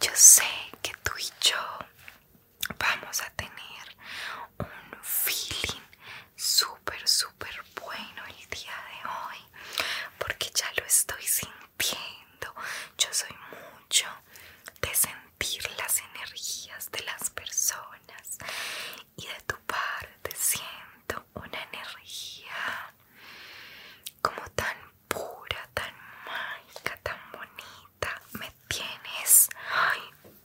Yo sé que tú y yo vamos a tener un feeling súper, súper bueno el día de hoy, porque ya lo estoy sintiendo. Yo soy mucho de sentir las energías de las personas y de tu parte siento una energía como tan pura, tan mágica, tan bonita. Me tienes,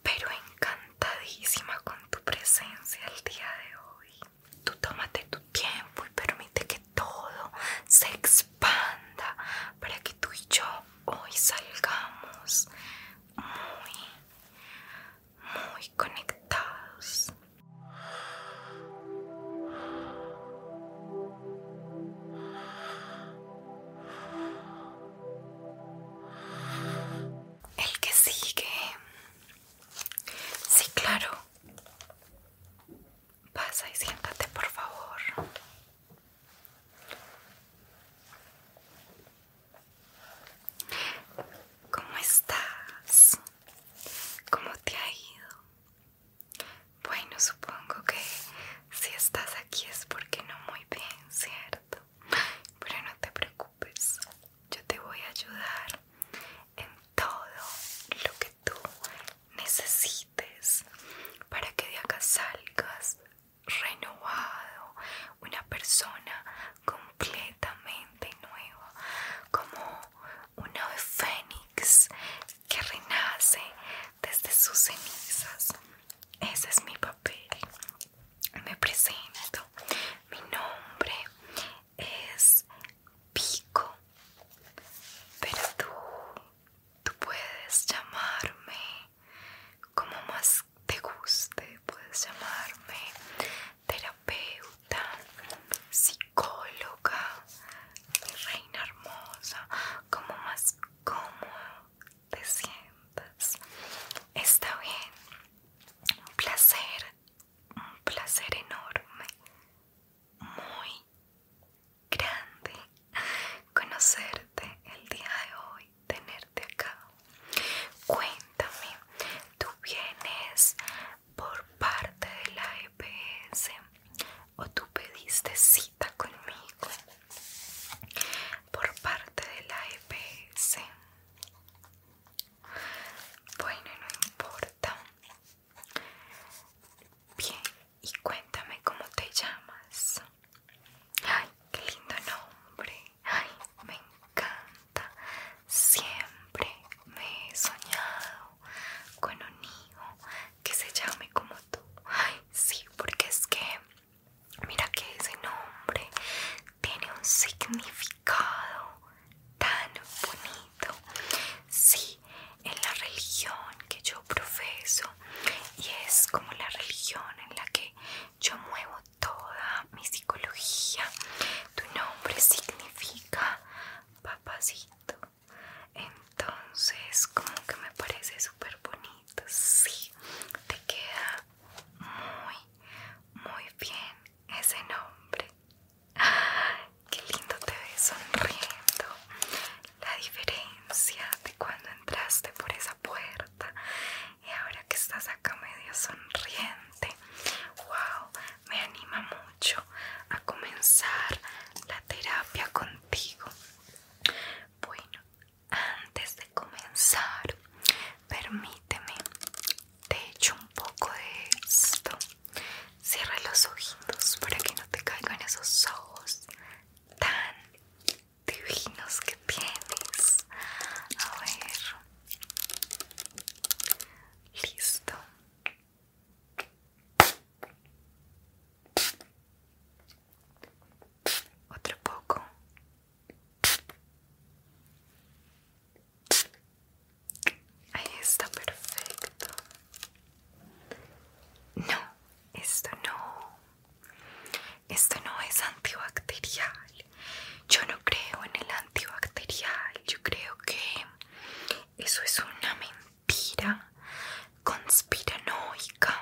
pero encantadísima con tu presencia el día de hoy. Tú tómate tu tiempo y permite que todo se expanda para que tú y yo hoy salgamos muy, muy conectados. El que sigue. Sí, claro. Pasa y siéntate, por favor. ¿Cómo estás? ¿Cómo te ha ido? Bueno, supongo que si estás aquí es porque no muy bien, ¿cierto? Pero no te preocupes, yo te voy a ayudar en todo lo que tú necesites para que de acá salgas renovado, una persona completamente nueva, como una fénix que renace desde sus cenizas. Ese es mi papel. Me presento. Mi nombre es Pico. Pero tú, tú puedes llamarme como más te guste. Puedes llamarme terapeuta, psicólogo reina hermosa, como más cómodo te sientas. Está bien, un placer, un placer enorme, muy grande conocerte el día de hoy, tenerte acá. Cuéntame, tú vienes por parte de la EPS o tú pediste cita conmigo por parte de la EPS. Bueno, no importa. Bien, y cuéntame cómo te llamas. Ay, qué lindo nombre. Ay, me encanta. Siempre me he soñado con un hijo que se llame como tú. sí, porque es que mira que ese nombre tiene un significado tan bonito. Sí, en la religión que yo profeso y es como la religión en la que yo muevo toda mi psicología. Tu nombre significa papacito entonces como que me parece súper bonito sí te queda muy muy bien ese nombre qué lindo te ves sonriendo la diferencia de cuando entraste por esa puerta y ahora que estás acá medio sonriente wow me anima mucho a comenzar la terapia contigo bueno, antes de comenzar, permíteme, te echo un poco de esto. Cierra los ojitos para que no te caigan esos ojos tan divinos que tienes. A ver. Listo. Otro poco. Ahí está perfecto. No, esto no. Esto no es antibacterial. Yo no creo en el antibacterial. Yo creo que eso es una mentira conspira, conspiranoica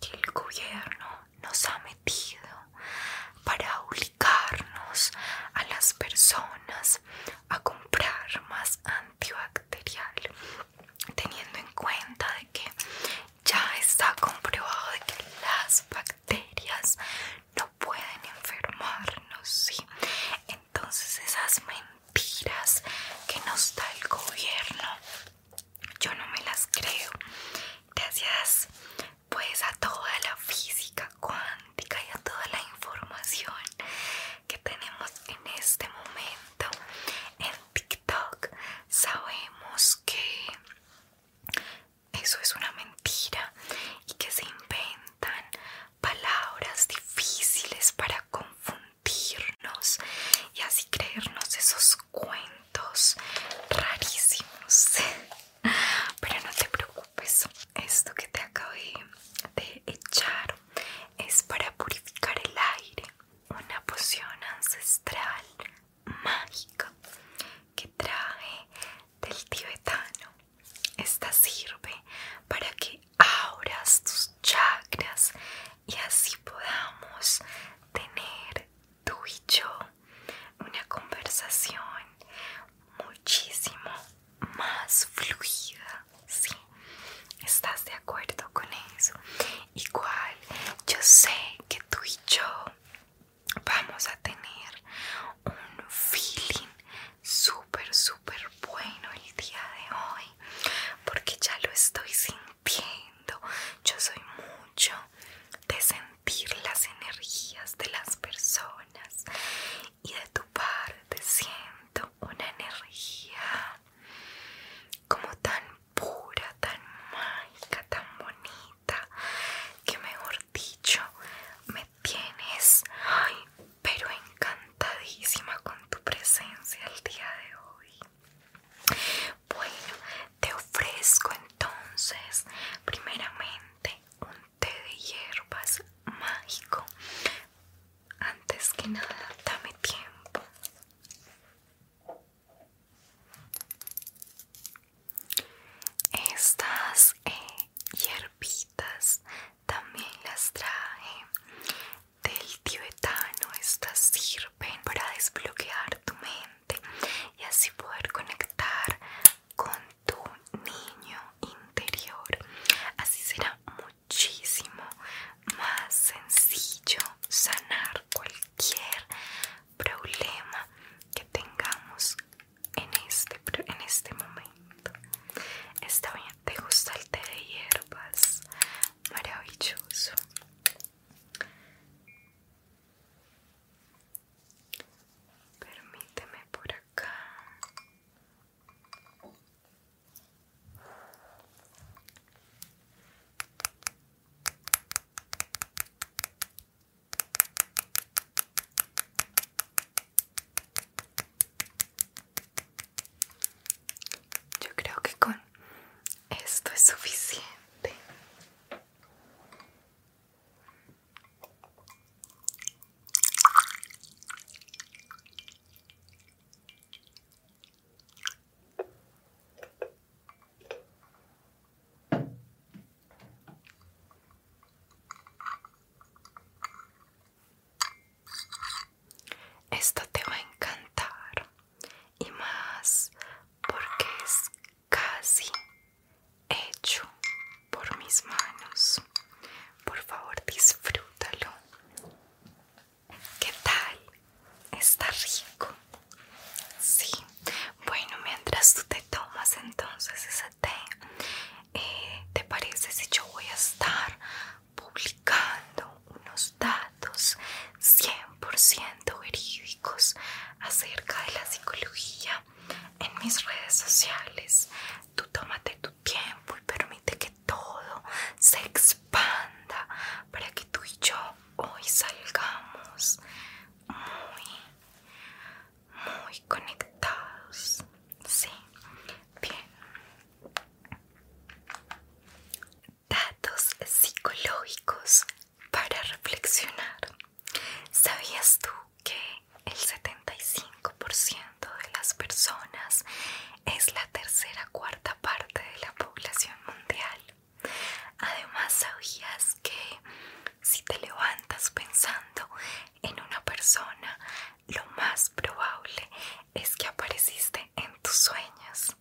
que el gobierno nos ha metido para obligarnos a las personas a comprar más antibacterial, teniendo en cuenta de que ya está comprobado de que las bacterias no pueden enfermarnos, Entonces esas mentes que nos da el gobierno. Yo no me las creo. Gracias pues a toda la física cuántica y a toda la información que tenemos en este momento en TikTok sabemos que eso es una mentira y que se inventan palabras difíciles para confundir y así creernos esos cuentos rarísimos. Pero no te preocupes, esto que te acabé de echar es para purificar el aire, una poción ancestral mágica que traje del tibetano. Esta sirve para que abras tus chakras y así podamos tener tú y yo una conversación muchísimo más fluida, ¿Estás de acuerdo con eso? Igual, yo sé que tú y yo vamos a tener un feeling súper, súper bueno el día de hoy porque ya lo estoy sintiendo. Yo soy mucho de sentir las energías de las personas y de tu parte siento una energía como tan pura, tan mágica, tan bonita que mejor dicho me tienes ay, pero encantadísima con tu presencia el día de hoy. Bueno, te ofrezco entonces primeramente un té de hierbas mágico. Antes que nada, dame tiempo. Estas eh, hierbitas también las traje del tibetano. Estas sirven para desbloquear tu mente y así poder conectar con tu niño interior. Así será muchísimo más sencillo sanar cualquier problema que tengamos en este, en este momento. Está bien, ¿te gusta el té de hierbas? maravilloso permíteme por acá yo creo que con esto es suficiente. Esto te va a encantar y más porque es casi hecho por mis manos. Por favor, disfrútalo. ¿Qué tal? ¿Está rico? Sí. Bueno, mientras tú te tomas entonces ese té, eh, ¿te parece si yo voy a estar publicando unos datos 100% verídicos acerca de la psicología en mis redes sociales. Tú tómate tu tiempo y permite que todo se expanda para que tú y yo hoy salgamos muy, muy conectados. Sí, bien. Datos psicológicos para reflexionar. ¿Sabías tú que el 75% de las personas es la tercera cuarta parte de la población mundial? Además, ¿sabías que si te levantas pensando en una persona, lo más probable es que apareciste en tus sueños?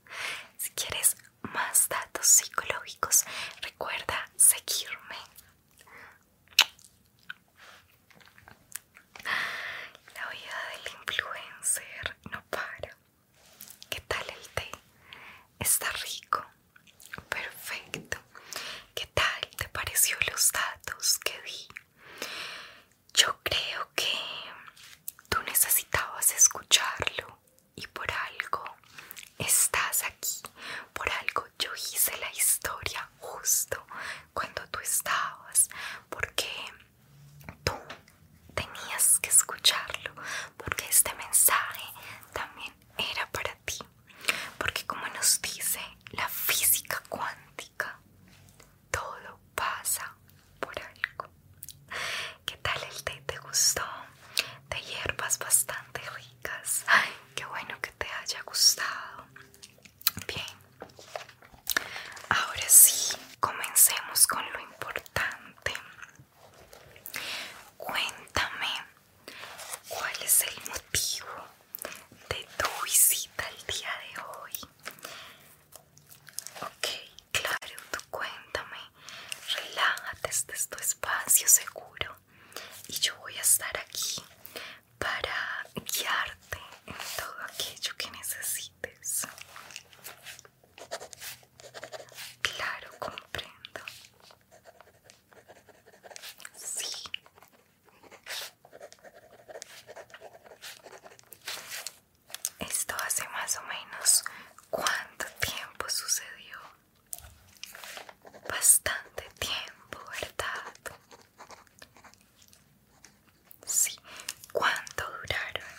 Si quieres más datos psicológicos, recuerda seguirme. La vida del influencer no para. ¿Qué tal el té? Está rico. Perfecto. ¿Qué tal te pareció los datos que di? Yo creo que tú necesitabas escucharlo y por algo estás aquí, por algo yo hice la historia justo cuando tú estabas, porque tú tenías que escucharlo, porque este mensaje también era para ti, porque como nos dice la física cuántica, todo pasa por algo. ¿Qué tal el té? ¿Te gustó? De hierbas bastante ricas. Ay, qué bueno que te haya gustado. Bien, ahora sí, comencemos con lo importante. Cuéntame cuál es el motivo de tu visita el día de hoy. Ok, Claro, tú cuéntame, relájate, este tu espacio seguro y yo voy a estar aquí para guiarte en todo aquello que necesites. Claro, comprendo. Sí. Esto hace más o menos cuánto tiempo sucedió. Bastante tiempo, ¿verdad? Sí, ¿cuánto duraron?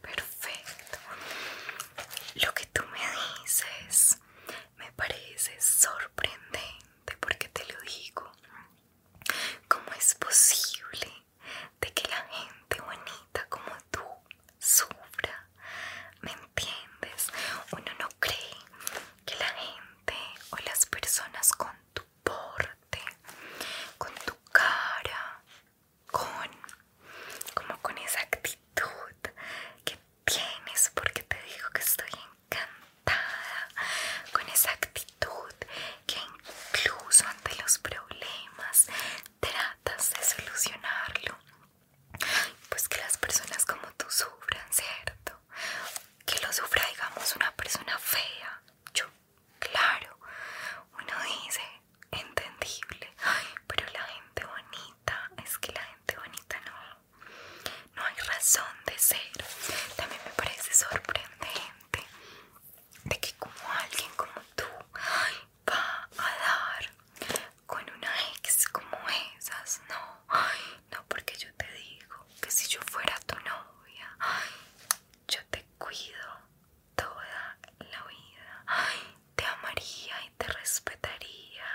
Perfecto. Lo que tú me dices me parece sorprendente porque te lo digo cómo es posible de que la gente bonita como tú sufra me entiendes uno no cree que la gente o las personas con tu porte con tu cara con como con esa actitud que tienes porque te digo que estoy en encantada con esa actitud que incluso ante los problemas tratas de solucionarlo. Pues que las personas como tú sufran, ¿cierto? Que lo sufra, digamos, una persona fea. Yo, claro, uno dice, entendible. pero la gente bonita, es que la gente bonita no no hay razón de ser. También me parece sorprendente de que como alguien como tú va a dar con una ex como esas, no, no porque yo te digo que si yo fuera tu novia, yo te cuido toda la vida, te amaría y te respetaría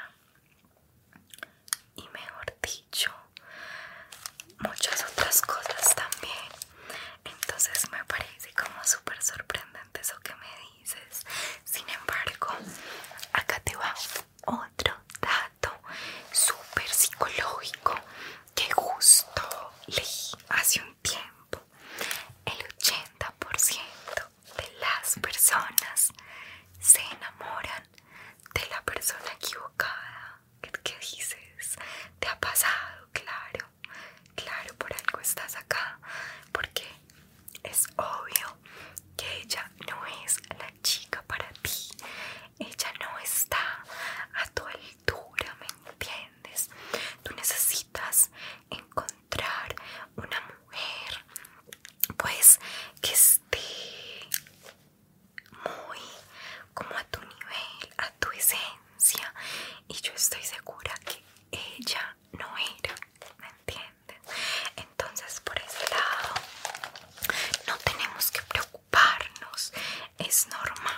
y mejor dicho muchas otras cosas también entonces me parece como súper sorprendente eso que me dices sin embargo acá te va otro dato súper psicológico que justo leí hace un tiempo el 80% de las personas se enamoran de la persona equivocada ¿Qué, dices? ¿Te ha pasado? Claro, claro, por algo estás acá. Porque es obvio que ella no es la chica para ti. Ella no está a tu altura, ¿me entiendes? Tú necesitas encontrar una mujer, pues, que esté muy como a tu nivel, a tu esencia y yo estoy segura que ella no era, ¿me entiendes? Entonces por ese lado no tenemos que preocuparnos, es normal.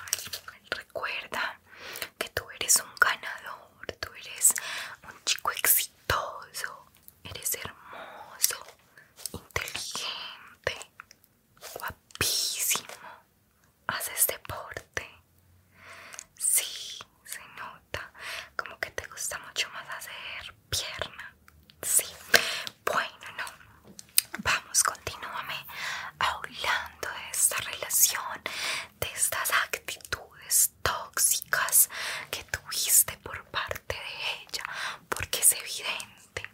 Recuerda que tú eres un ganador, tú eres un chico exitoso, eres hermoso, inteligente, guapísimo. Haces este deporte. Sí, se nota. Como que te gusta mucho más hacer pierna. Sí. Bueno, no. Vamos, continúame hablando de esta relación, de estas actitudes tóxicas que tuviste por parte de ella, porque es evidente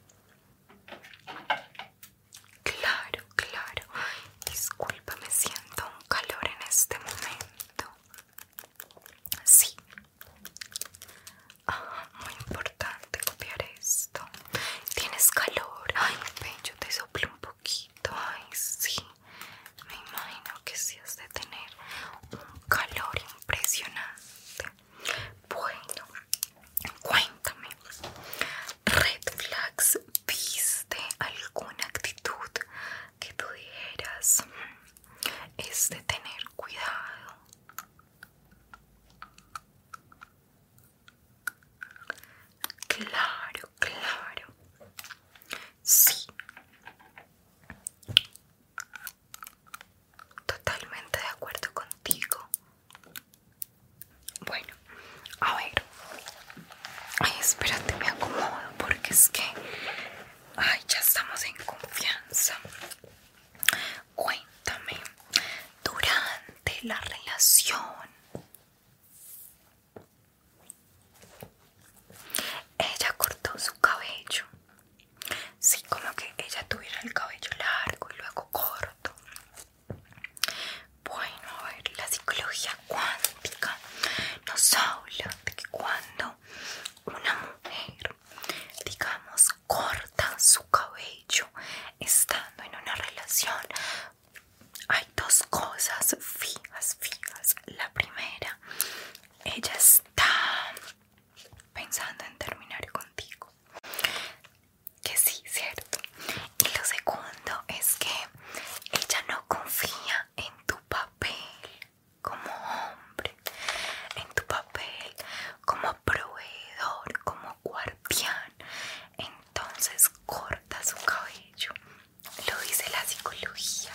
Claro, claro. Disculpa, me siento un calor en este momento. Sí. Ah, muy importante copiar esto. Tienes calor. Ay, mi pecho te soplo un poquito. Ay, sí. Me imagino que si has de tener un calor impresionante. Bueno, cuéntame, Red Flags, ¿viste alguna actitud que tú es de tener cuidado? Claro, claro. Sí. Totalmente de acuerdo contigo. Bueno, a ver. Ay, espérate, me acomodo porque es que... Ay, ya estamos en confianza. Cuéntame, durante la relación... Ella cortó su cabello. Sí, como que ella tuviera el cabello largo y luego corto. Bueno, a ver, la psicología cuántica nos habla de que cuando una mujer, digamos, corta su cabello estando en una relación, hay dos cosas fijas, fijas. La primera, ella está pensando en terminar contigo. Que sí, cierto. Y lo segundo es que ella no confía en tu papel como hombre, en tu papel como proveedor, como guardián. Entonces corta su cabello. Lo dice la psicología.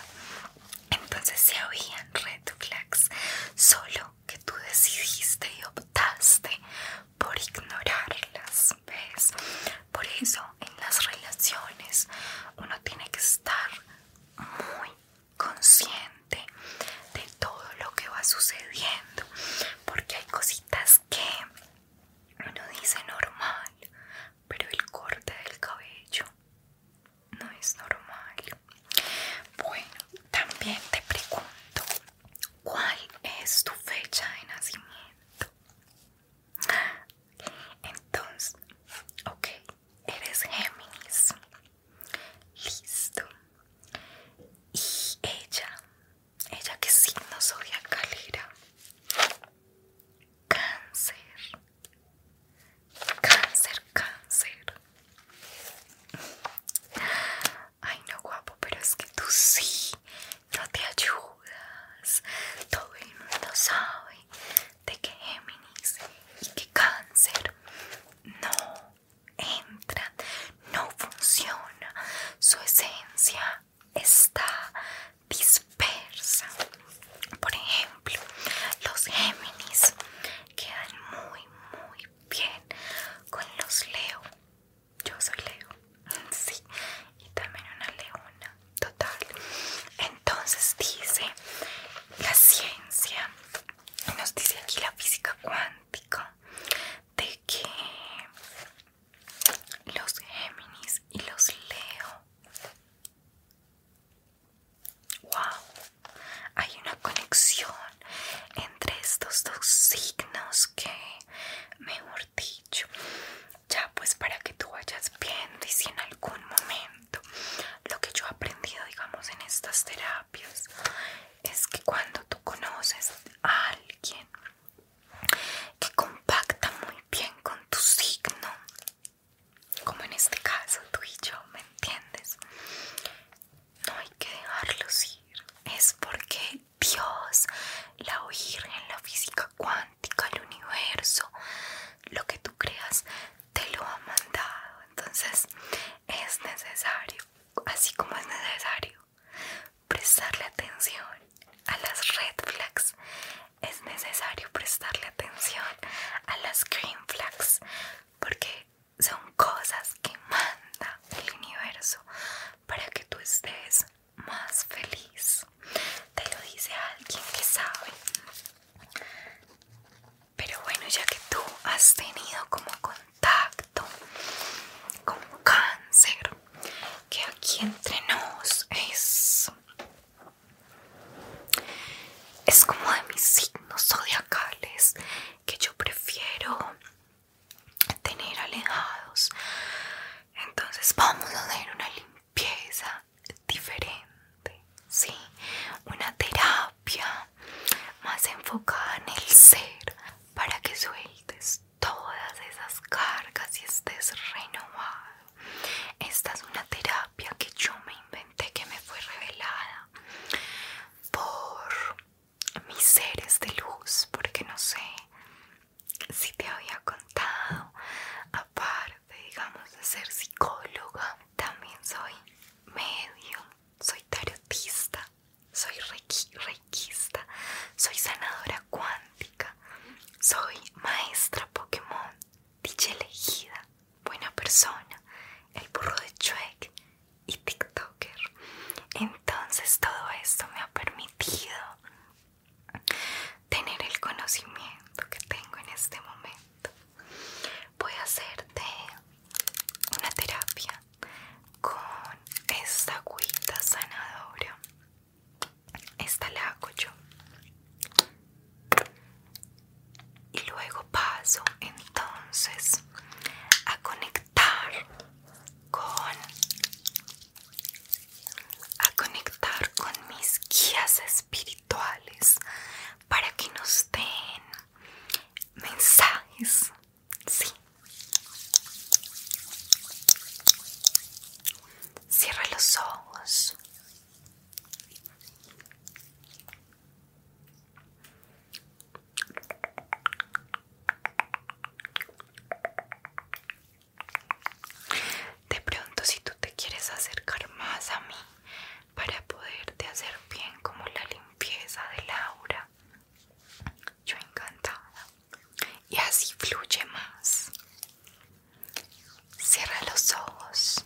Entonces se habían red solo que tú decidiste y optaste por ignorarlas, ¿ves? Por eso en las relaciones uno tiene que estar muy consciente de todo lo que va sucediendo, porque hay cositas que uno dice normal, pero el corte del cabello no es normal. Bueno, también te pregunto, ¿cuál es tu fecha de nacimiento? Entonces, ok, eres Géminis. Listo. Y ella, ella que signo soy era cáncer, cáncer, cáncer. Ay no guapo, pero es que tú sí, no te ayudas. Todo el mundo sabe de que Géminis y que cáncer no entran, no funciona. Su esencia está dispersa. Por ejemplo, los Géminis quedan muy, muy bien con los Leo. Yo soy Leo, sí, y también una leona, total. Entonces dice la ciencia, nos dice aquí la física cuántica, de que los Géminis y los Leo, wow, hay una conexión entre estos dos signos que, mejor dicho, ya pues para que tú vayas viendo y si en algún momento lo que yo he aprendido, digamos, en estas terapias es que cuando tú conoces a alguien que compacta muy bien con tu signo, como en este caso tú y yo, ¿me entiendes? no hay que dejarlos ir. Es porque Dios, la Virgen, la física cuántica, el universo, lo que tú creas, te lo ha mandado. Entonces es necesario, así como es necesario prestarle atención a las red flags, es necesario prestarle atención a las green flags, porque son cosas que manda el universo para que tú estés más feliz. Te lo dice alguien que sabe. Pero bueno, ya que tú has tenido como contacto con cáncer, que aquí entre nos es, es como de mis signos zodiacales, que yo prefiero tener alejados. Entonces vamos a hacer una limpieza diferente, ¿sí? Una terapia más enfocada en el ser para que sueltes todas esas cargas y estés renovado. Esta es una terapia que yo me inventé, que me fue revelada por mis seres de luz, porque no sé si te había contado, aparte, digamos, de ser psicóloga, también soy medio, soy tarotista, soy requista soy sanadora cuántica, soy maestra Pokémon, dicha elegida, buena persona, el burro de Chuck y TikToker. Entonces todo esto me ha permitido tener el conocimiento que tengo en este momento. Voy a hacerte una terapia con esta agüita sanadora. Esta la hago yo. Y luego paso entonces a conectar a conectar con mis guías espirituales para que nos den mensajes sí cierra los ojos de pronto si tú te quieres acercar más a mí para poderte hacer bien como la limpieza de Laura yo encantada. Y así fluye más. Cierra los ojos.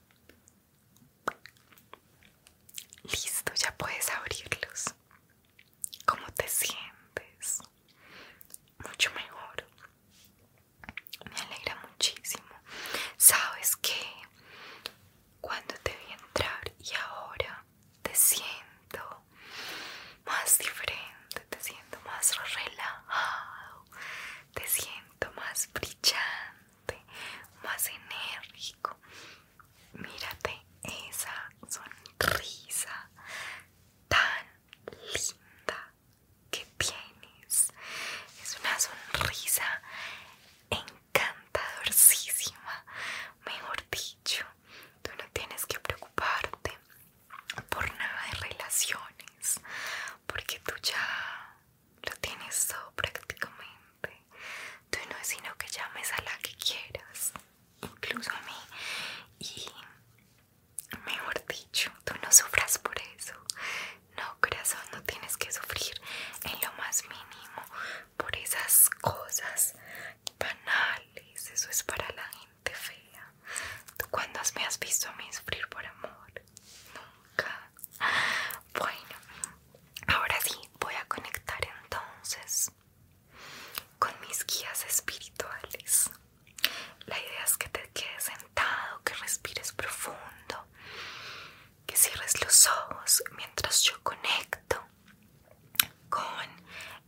Listo, ya puedes abrirlos. ¿Cómo te sientes? Mucho mejor. Me alegra muchísimo. Sabes que cuando te vi entrar y ahora te siento más diferente, te siento más relajado, te siento más brillante, más enérgico. Mírate esa sonrisa tan linda que tienes. Es una sonrisa encantadorcísima, mejor dicho. Tú no tienes que preocuparte por nada de relaciones, porque tú ya lo tienes todo prácticamente. Tú no es sino que llames a la que quieras, incluso a mí. Y mejor dicho, tú no sufras por eso. No, corazón, no tienes que sufrir en lo más mínimo por esas cosas banales. Eso es para la gente fea. Tú cuando me has visto a mí sufrir por amor, Nunca. Bueno, ahora sí voy a conectar entonces con mis guías espirituales. La idea es que te quedes sentado, que respires profundo, que cierres los ojos mientras yo conecto con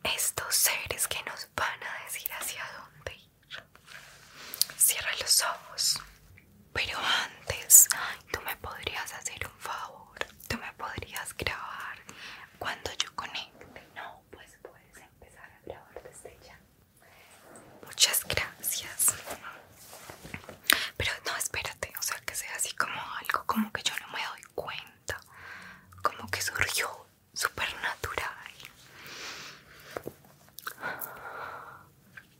estos seres que nos van a decir hacia dónde Cierra los ojos. Pero antes, tú me podrías hacer un favor. Tú me podrías grabar cuando yo conecte. No, pues puedes empezar a grabar desde ya. Muchas gracias. Pero no, espérate, o sea, que sea así como algo como que yo no me doy cuenta. Como que surgió súper natural.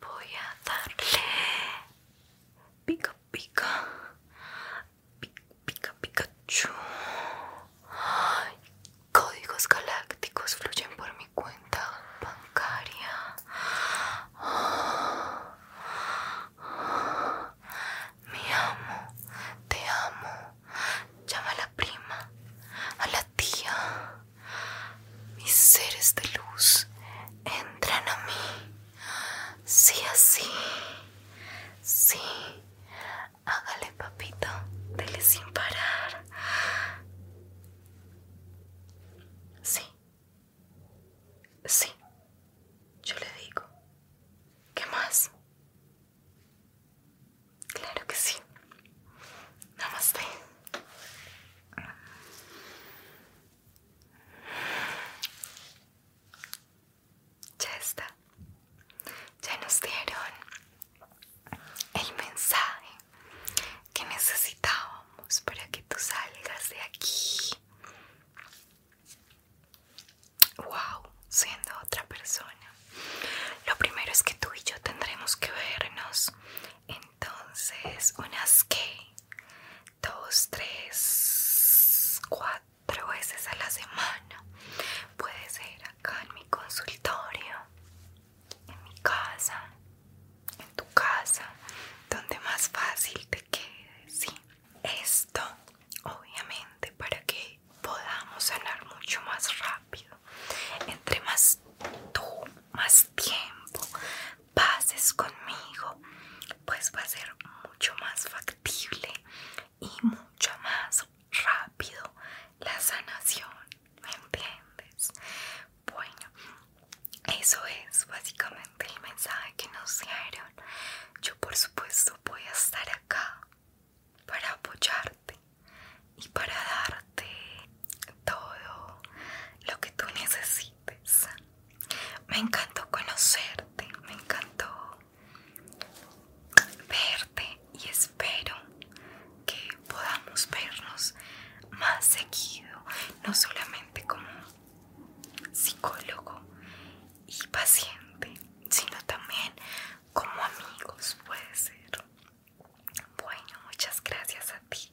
voy a darle pica pica pica pica pikachu códigos galácticos fluyen por mi cuenta bancaria me amo te amo llama a la prima a la tía mis seres de luz entran a mí. Sí, así. Sí. Hágale, papito. Dele sin parar. Sí. Sí. Yo le digo. ¿Qué más? Claro que sí. Namaste. Ya está. Ya nos dieron el mensaje que necesitábamos para que tú salgas de aquí. Wow, siendo otra persona. Lo primero es que tú y yo tendremos que vernos entonces, unas que dos, tres, cuatro veces a la semana. Puede ser acá en mi consultorio, en mi casa, en tu casa, donde más fácil te quede, ¿sí? Esto, obviamente, para que podamos sanar mucho más rápido. Entre más tú, más tiempo pases conmigo, pues va a ser mucho más factible y mucho más rápido la sanación, ¿me entiendes? Bueno, eso es básicamente el mensaje que nos dieron. Yo por supuesto voy a estar acá para apoyarte y para darte todo lo que tú necesitas me encantó conocerte, me encantó verte y espero que podamos vernos más seguido, no solamente como psicólogo y paciente, sino también como amigos, puede ser. Bueno, muchas gracias a ti.